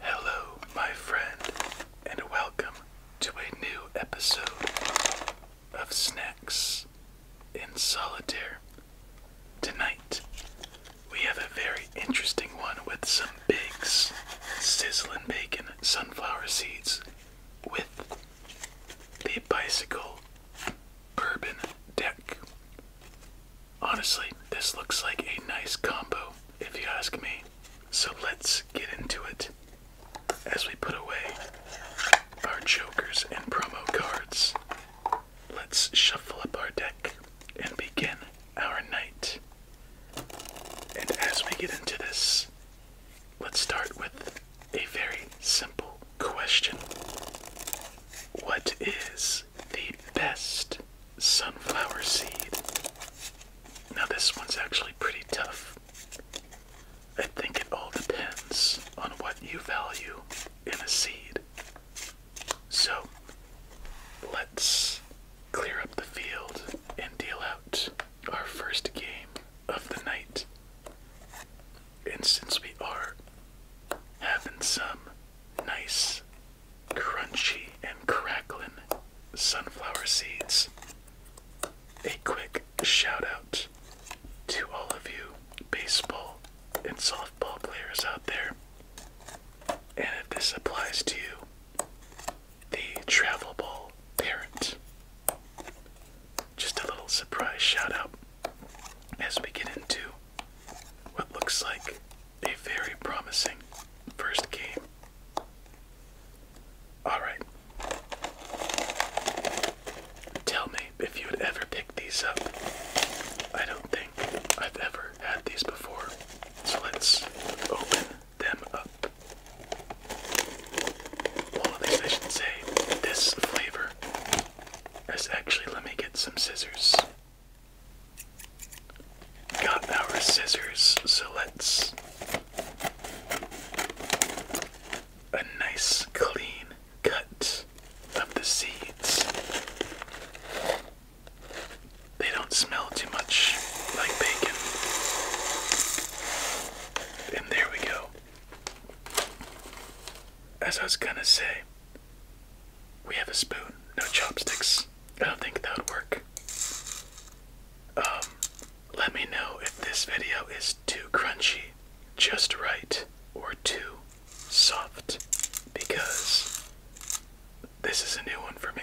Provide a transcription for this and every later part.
Hello, my friend, and welcome to a new episode of Snacks in Solitaire. Tonight, we have a very interesting one with some Biggs sizzling bacon sunflower seeds with the bicycle bourbon deck. Honestly, this looks like a nice combo, if you ask me. So let's get into it as we put away our jokers and promo cards. Let's shuffle up our deck and begin our night. And as we get into this, let's start with a very simple question What is the best sunflower seed. Now, this one's actually pretty tough. I think it all depends on what you value in a seed. So, let's clear up the field and deal out our first game of the night. And since we are having some nice, crunchy, and crackling sunflower seeds, a quick shout out to all of you baseball and softball players out there. And if this applies to you, the travel ball parent. Just a little surprise shout out as we get into what looks like a very promising first game. Alright. Tell me if you would ever picked these up. I don't think I've ever had these before. So let's open them up. Well, at least I should say this flavor. As actually, let me get some scissors. Got our scissors, so let's a nice clean cut of the seeds. They don't smell too much like bacon. And there we go. As I was gonna say, we have a spoon, no chopsticks. I don't think that would work. Um, let me know if this video is too crunchy, just right, or too soft, because this is a new one for me.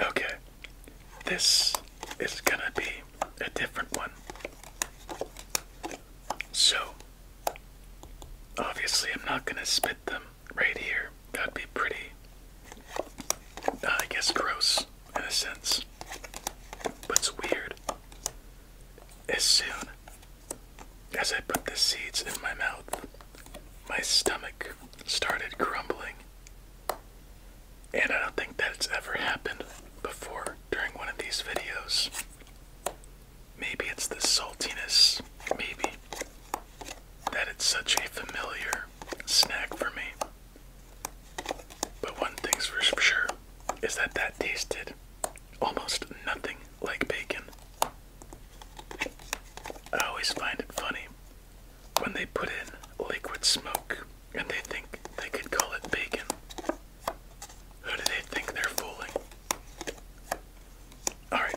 Okay, this is gonna be a different one. So, obviously, I'm not gonna spit them right here. That'd be pretty, uh, I guess, gross in a sense, but it's weird. As soon as I put the seeds in my mouth, my stomach started grumbling. And I don't think that's ever happened before during one of these videos. Maybe it's the saltiness, maybe, that it's such a familiar snack for me. But one thing's for sure is that that tasted almost nothing like bacon. I always find it funny when they put in liquid smoke and they think they could call it bacon. Who do they think they're fooling? Alright.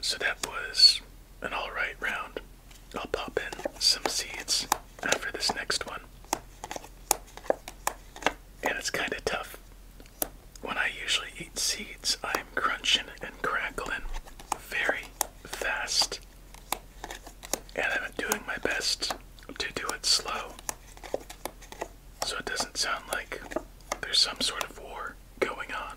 So that was an alright round. I'll pop in some seeds for this next one. And it's kind of tough. When I usually eat seeds, I'm crunching and crackling very fast. And I'm doing my best to do it slow so it doesn't sound like there's some sort of war going on.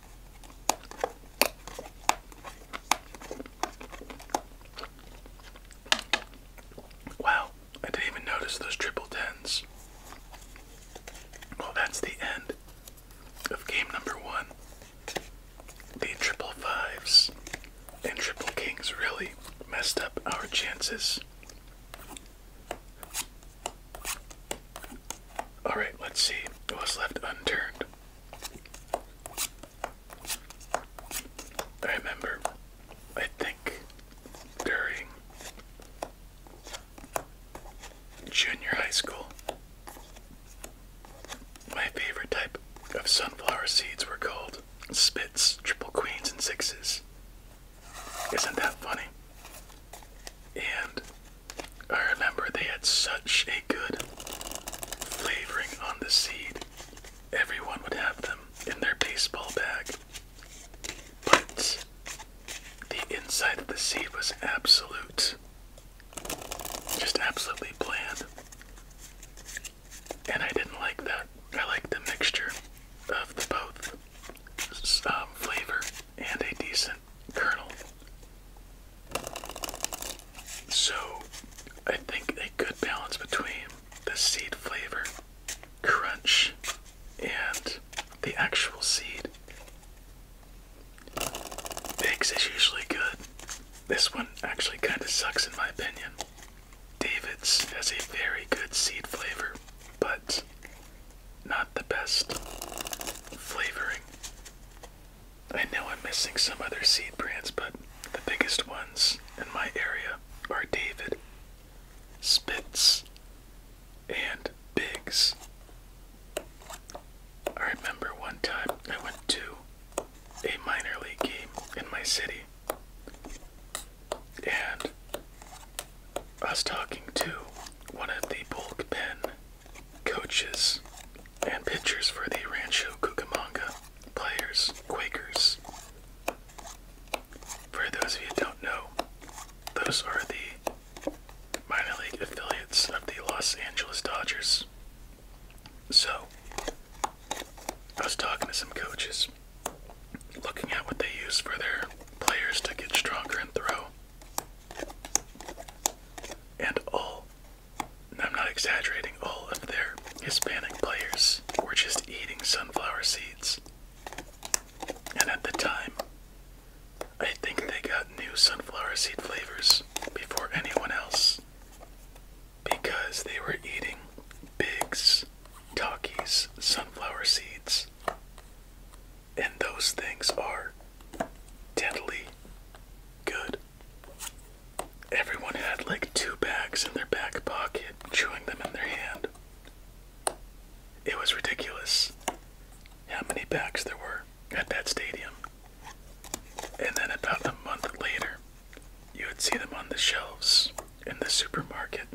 Wow, I didn't even notice those triple tens. Well, that's the end of game number one. The triple fives and triple kings really messed up our chances. Alright, let's see what's left unturned. I remember, I think, during junior high school, my favorite type of sunflower seeds were called spits, triple queens, and sixes. Isn't that funny? And I remember they had such a good flavoring on the seed. Everyone would have them in their baseball bag. But the inside of the seed was absolute. Just absolutely bland. And I didn't like that. I like the mixture of the both um, flavor and a decent kernel. So, I think a good balance between the seed flavor, crunch, and the actual seed. Biggs is usually good. This one actually kind of sucks, in my opinion. David's has a very good seed flavor, but not the best flavoring. I know I'm missing some other seed brands, but the biggest ones in my area are David, Spitz, and Biggs. I remember one time I went to a minor league game in my city, and I was talking to one of the bullpen coaches and pitchers for the Rancho Cucamonga Players Quakers. For those of you who don't know, those are the minor league affiliates of the Los Angeles Dodgers. So, I was talking to some coaches, looking at what they use for their players to get stronger and throw. And all I'm not exaggerating, all of their Hispanic players were just eating sunflower seeds. And at the time, I think they got new sunflower seed flavors before anyone else because they were eating Biggs, Takis, sunflower seeds. And those things are deadly good. Everyone had like two bags in their back pocket, chewing them in their hand. It was ridiculous how many bags there were at that stadium. And then about a month later, you would see them on the shelves in the supermarket,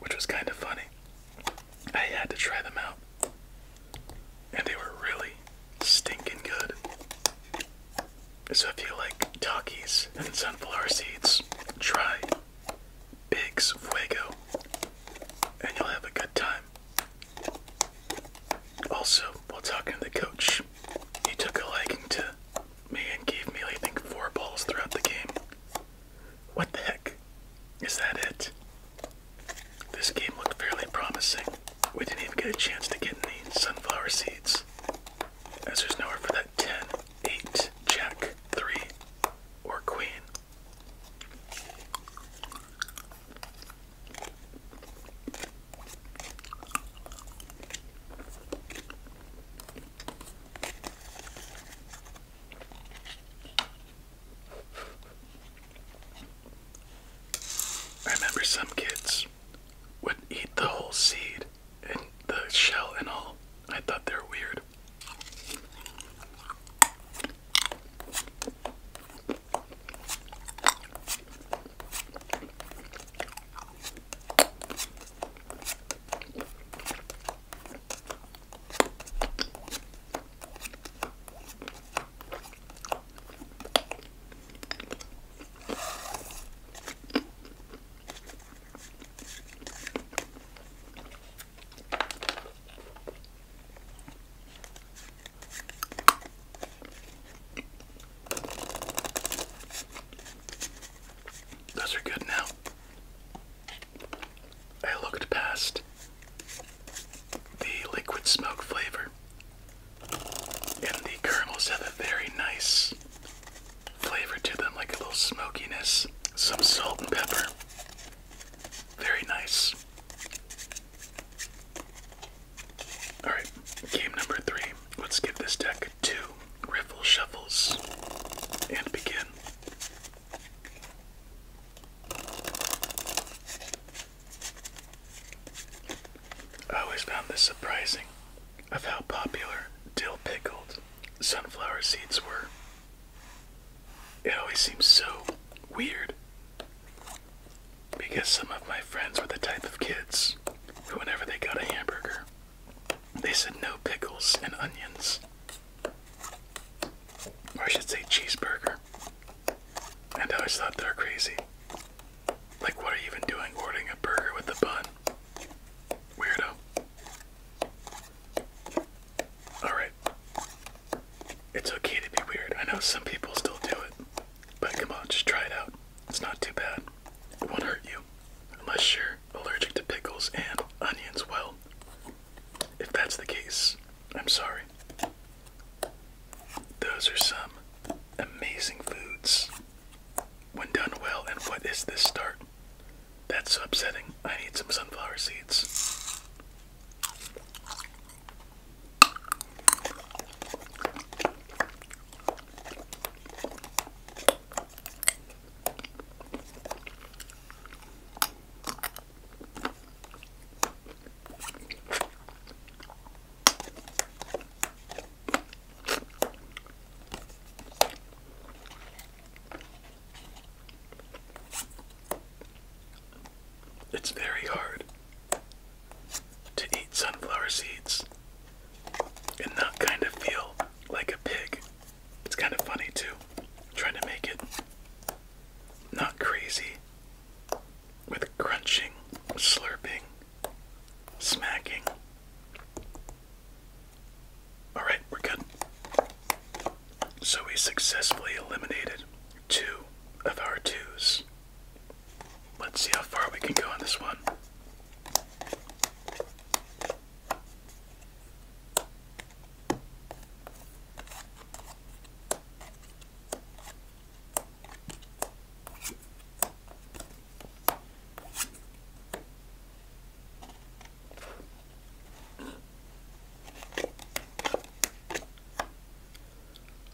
which was kind of funny. I had to try them out. And they were really stinking good. So if you like Takis and sunflower seeds, try Big's Fuego and you'll have a good time. Also, while talking to the coach, he took a liking to me and gave me, I think, four balls throughout the game. What the heck? Is that it? This game looked fairly promising. We didn't even get a chance to get any sunflower seeds. As there's nowhere for that 10, 8, jack, 3, or queen. I remember some kids would eat the whole seed and the shell and all. I thought they were weird. Those are good now. I looked past the liquid smoke flavor. And the caramels have a very nice flavor to them, like a little smokiness, some salt and pepper. Very nice. Alright, game number three. Let's give this deck two riffle shuffles and begin. I always found this surprising of how popular dill pickled sunflower seeds were. It always seems so weird because some of my friends were the type of kids who, whenever they got a hamburger, they said no pickles and onions. Or I should say cheeseburger. And I always thought they were crazy. Like, what are you even doing ordering a burger with the bun? Weirdo. Alright. It's okay to be weird. I know some people still do it. But come on, just try it out. It's not too bad. It won't hurt you. Unless you're allergic to pickles and onions. Well, if that's the case, I'm sorry. Those are some amazing foods. When done well, and what is this start? That's upsetting. I need some sunflower seeds. It's very hard to eat sunflower seeds and not kind of feel like a pig. It's kind of funny too, trying to make it not crazy with crunching, slurping, smacking. Alright, we're good. So we successfully eliminated two of our twos. Let's see how far we can go on this one.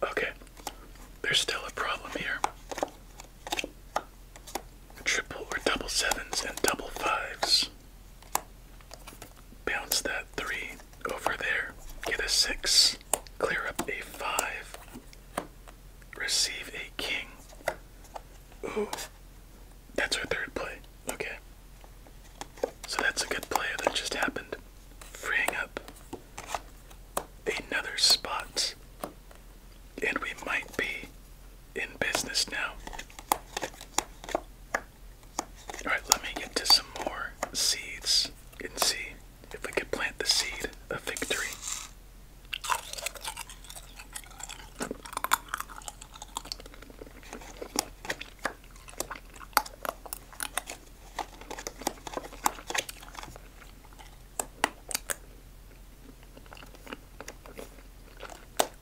Okay, there's still a problem here. Triple or double sevens and double fives bounce that three over there, get a six, clear up a five, receive a king. Ooh, that's our third play. Okay. So that's a good play that just happened, freeing up another spot. And we might be in business now. Alright, let me get to some more seeds and see if we can plant the seed of victory.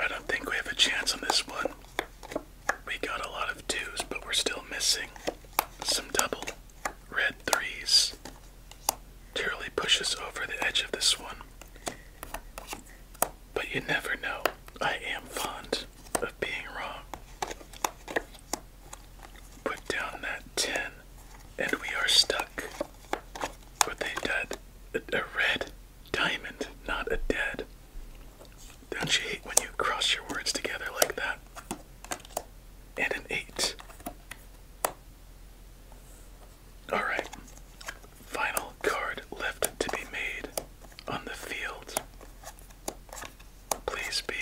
I don't think we have a chance on this one. We got a lot of twos, but we're still missing some double red threes. Turley pushes over the edge of this one. But you never know. I am fond of being wrong. Put down that 10, and we are stuck with a dead, a, red diamond, not a dead. Don't you hate when you cross your words together like that? And an 8. Alright, final card left to be made on the field please be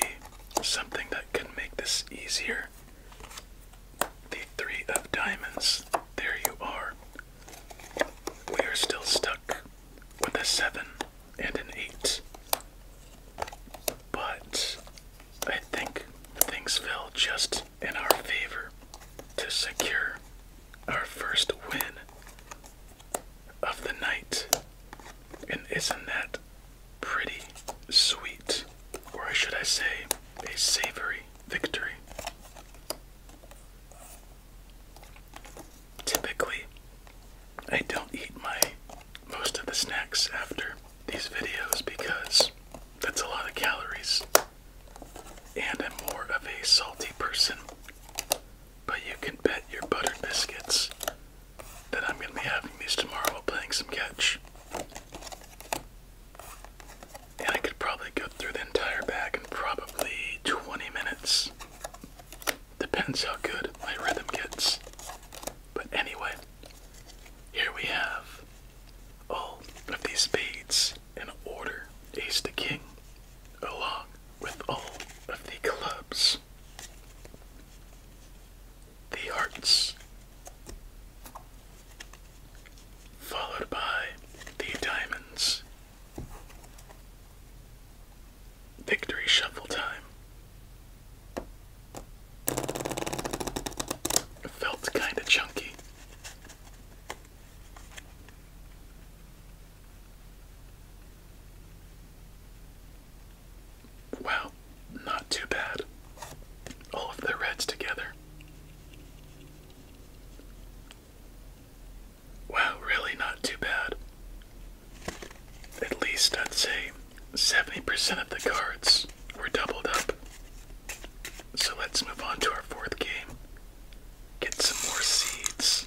something that can make this easier. The three of diamonds. There you are. We are still stuck with a seven and an eight. But I think things fell just in our favor to secure our first win of the night. And isn't that pretty sweet? Or should I say, a savory victory? Typically, I don't eat my most of the snacks after these videos because that's a lot of calories. And I'm more of a salty person. But you can bet your buttered biscuits that I'm going to be having these tomorrow while playing some catch. And I could probably go through the entire bag in probably 20 minutes. Depends how good my rhythm gets. But anyway, here we have all of these spades in order ace to king, along with all of the clubs. The hearts. Followed by the diamonds. Victory shuffle time. felt kinda chunky. Wow, not too bad. All of the reds together. Wow, really not too bad. At least I'd say 70% of the cards were doubled up. So let's move on to our fourth game. Get some more seeds.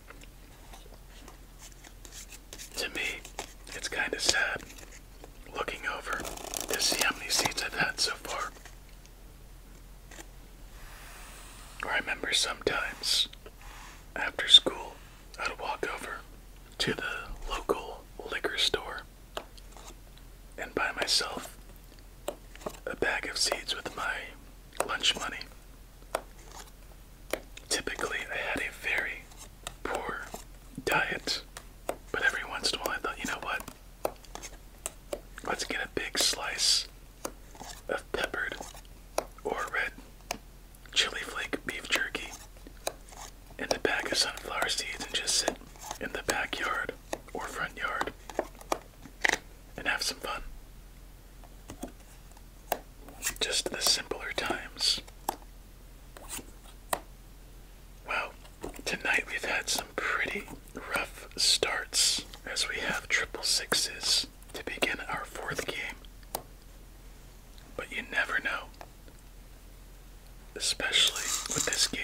To me, it's kind of sad looking over to see how many seeds I've had so far. I remember sometimes after school, I'd walk over to the local liquor store and buy myself a bag of seeds with my lunch money. Typically, I had a very poor diet, but every once in a while I thought, you know what? Let's get a big slice of peppered or red chili flake beef jerky and a bag of sunflower seeds and just sit in the backyard or front yard and have some fun. Just the simpler times. Well, tonight we've had some pretty rough starts as we have triple sixes to begin our fourth game. But you never know, especially with this game.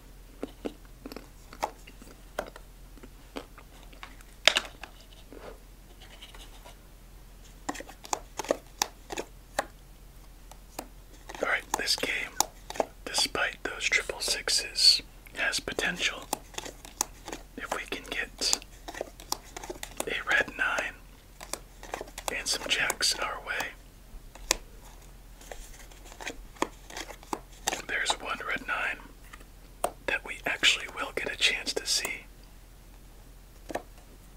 All right, this game, despite those triple sixes, has potential. If we can get a red nine and some jacks in our way, there's one red nine that we actually will get a chance to see.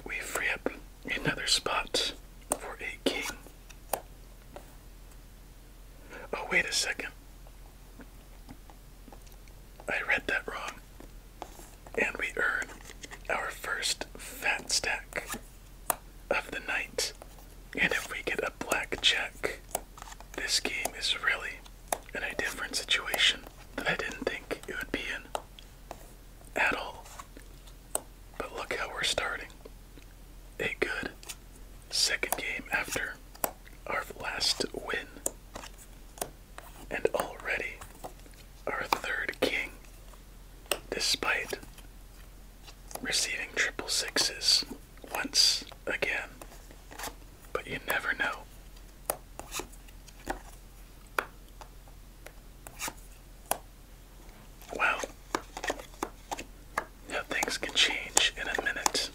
We free up another spot for a king. Oh, wait a second. I read that wrong. And we earn our first fat stack of the night. And if we get a black check, this game is really in a different situation that I didn't think it would be in at all. But look how we're starting. A good second game after our last win. And already our third king, despite receiving triple sixes once again, but you never know. Wow, how things can change in a minute.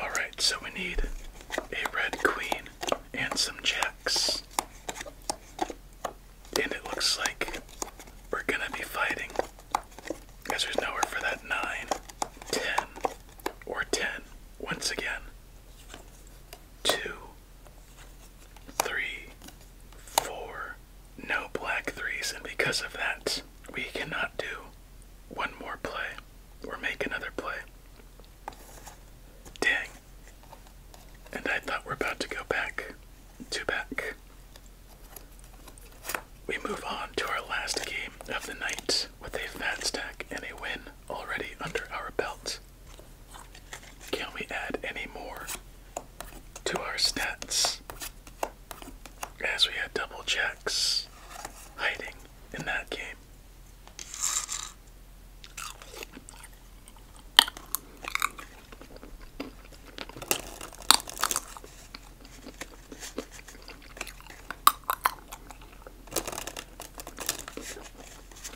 All right, so we need a red queen and some jacks. And it looks like we're gonna be fighting because there's nowhere for that 9, 10, or 10. Once again, 2, three, four, no black threes, and because of that, we cannot do one more play or make another play. Dang. And I thought we're about to go back to back. We move on to our last game of the night with a fat stack and a win already under our belts. Can we add any more to our stats? As we had double checks hiding in that game.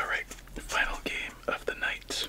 All right, final game of the night.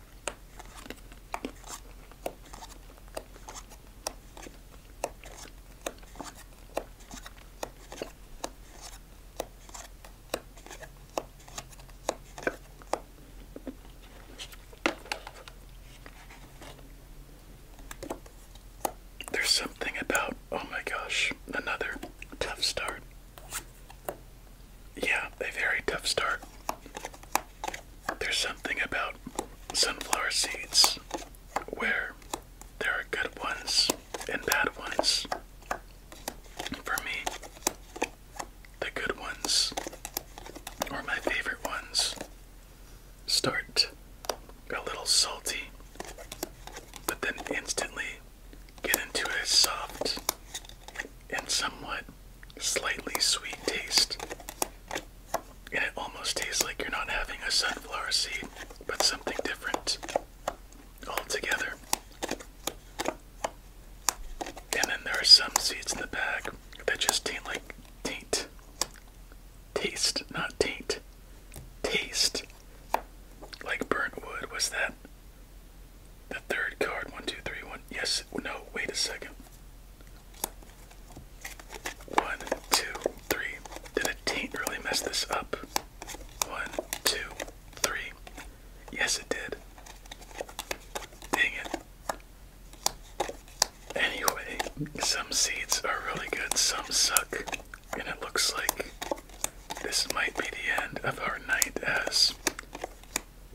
There's something about, oh my gosh, another tough start yeah, a very tough start. There's something about sunflower seeds where there are good ones and bad ones. For me, the good ones, or my favorite ones, start a little salty, but then instantly get into a soft, and somewhat slightly sweet taste. And it almost tastes like you're not having a sunflower seed, but something different altogether. And then there are some seeds in the bag that just taste like taint. Taste, not taint. Taste. Like burnt wood. Was that the third card, one, two, three, one. Yes, no, wait a second. One, two, three. Did a really mess this up? One, two, three. Yes, it did. Dang it. Anyway, some seeds are really good, some suck. And it looks like this might be the end of our night as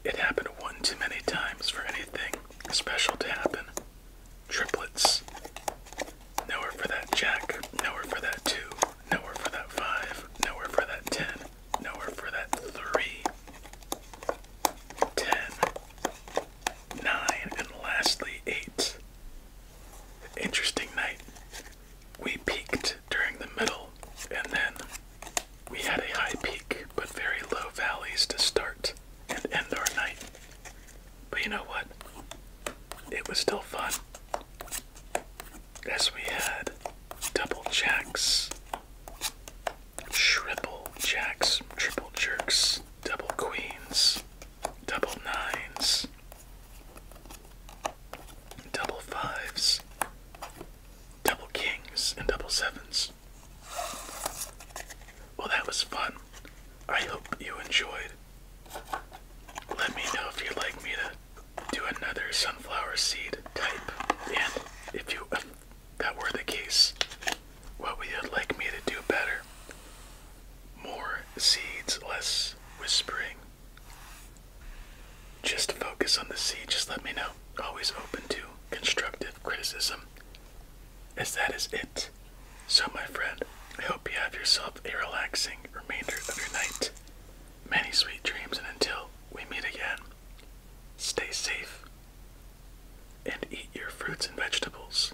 it happened one too many times for anything special to happen. Triplets. Nowhere for that jack, nowhere for that two, nowhere for that five, nowhere for that ten, nowhere for that three. Ten. and lastly, eight. Interesting night. We peaked during the middle, and then we had a high peak but very low valleys to start and end our night. But you know what? It was still fun as we had double jacks, triple jacks, triple jerks, double queens, double nines, double fives, double kings and double sevens. Well, that was fun. I hope you enjoyed. Let me know if you'd like me to do another sunflower seed type, and if you that were the case, what would you like me to do better? More seeds, less whispering. Just focus on the sea, just let me know. Always open to constructive criticism. As that is it. So, my friend, I hope you have yourself a relaxing remainder of your night. Many sweet dreams, and until we meet again, stay safe and eat your fruits and vegetables.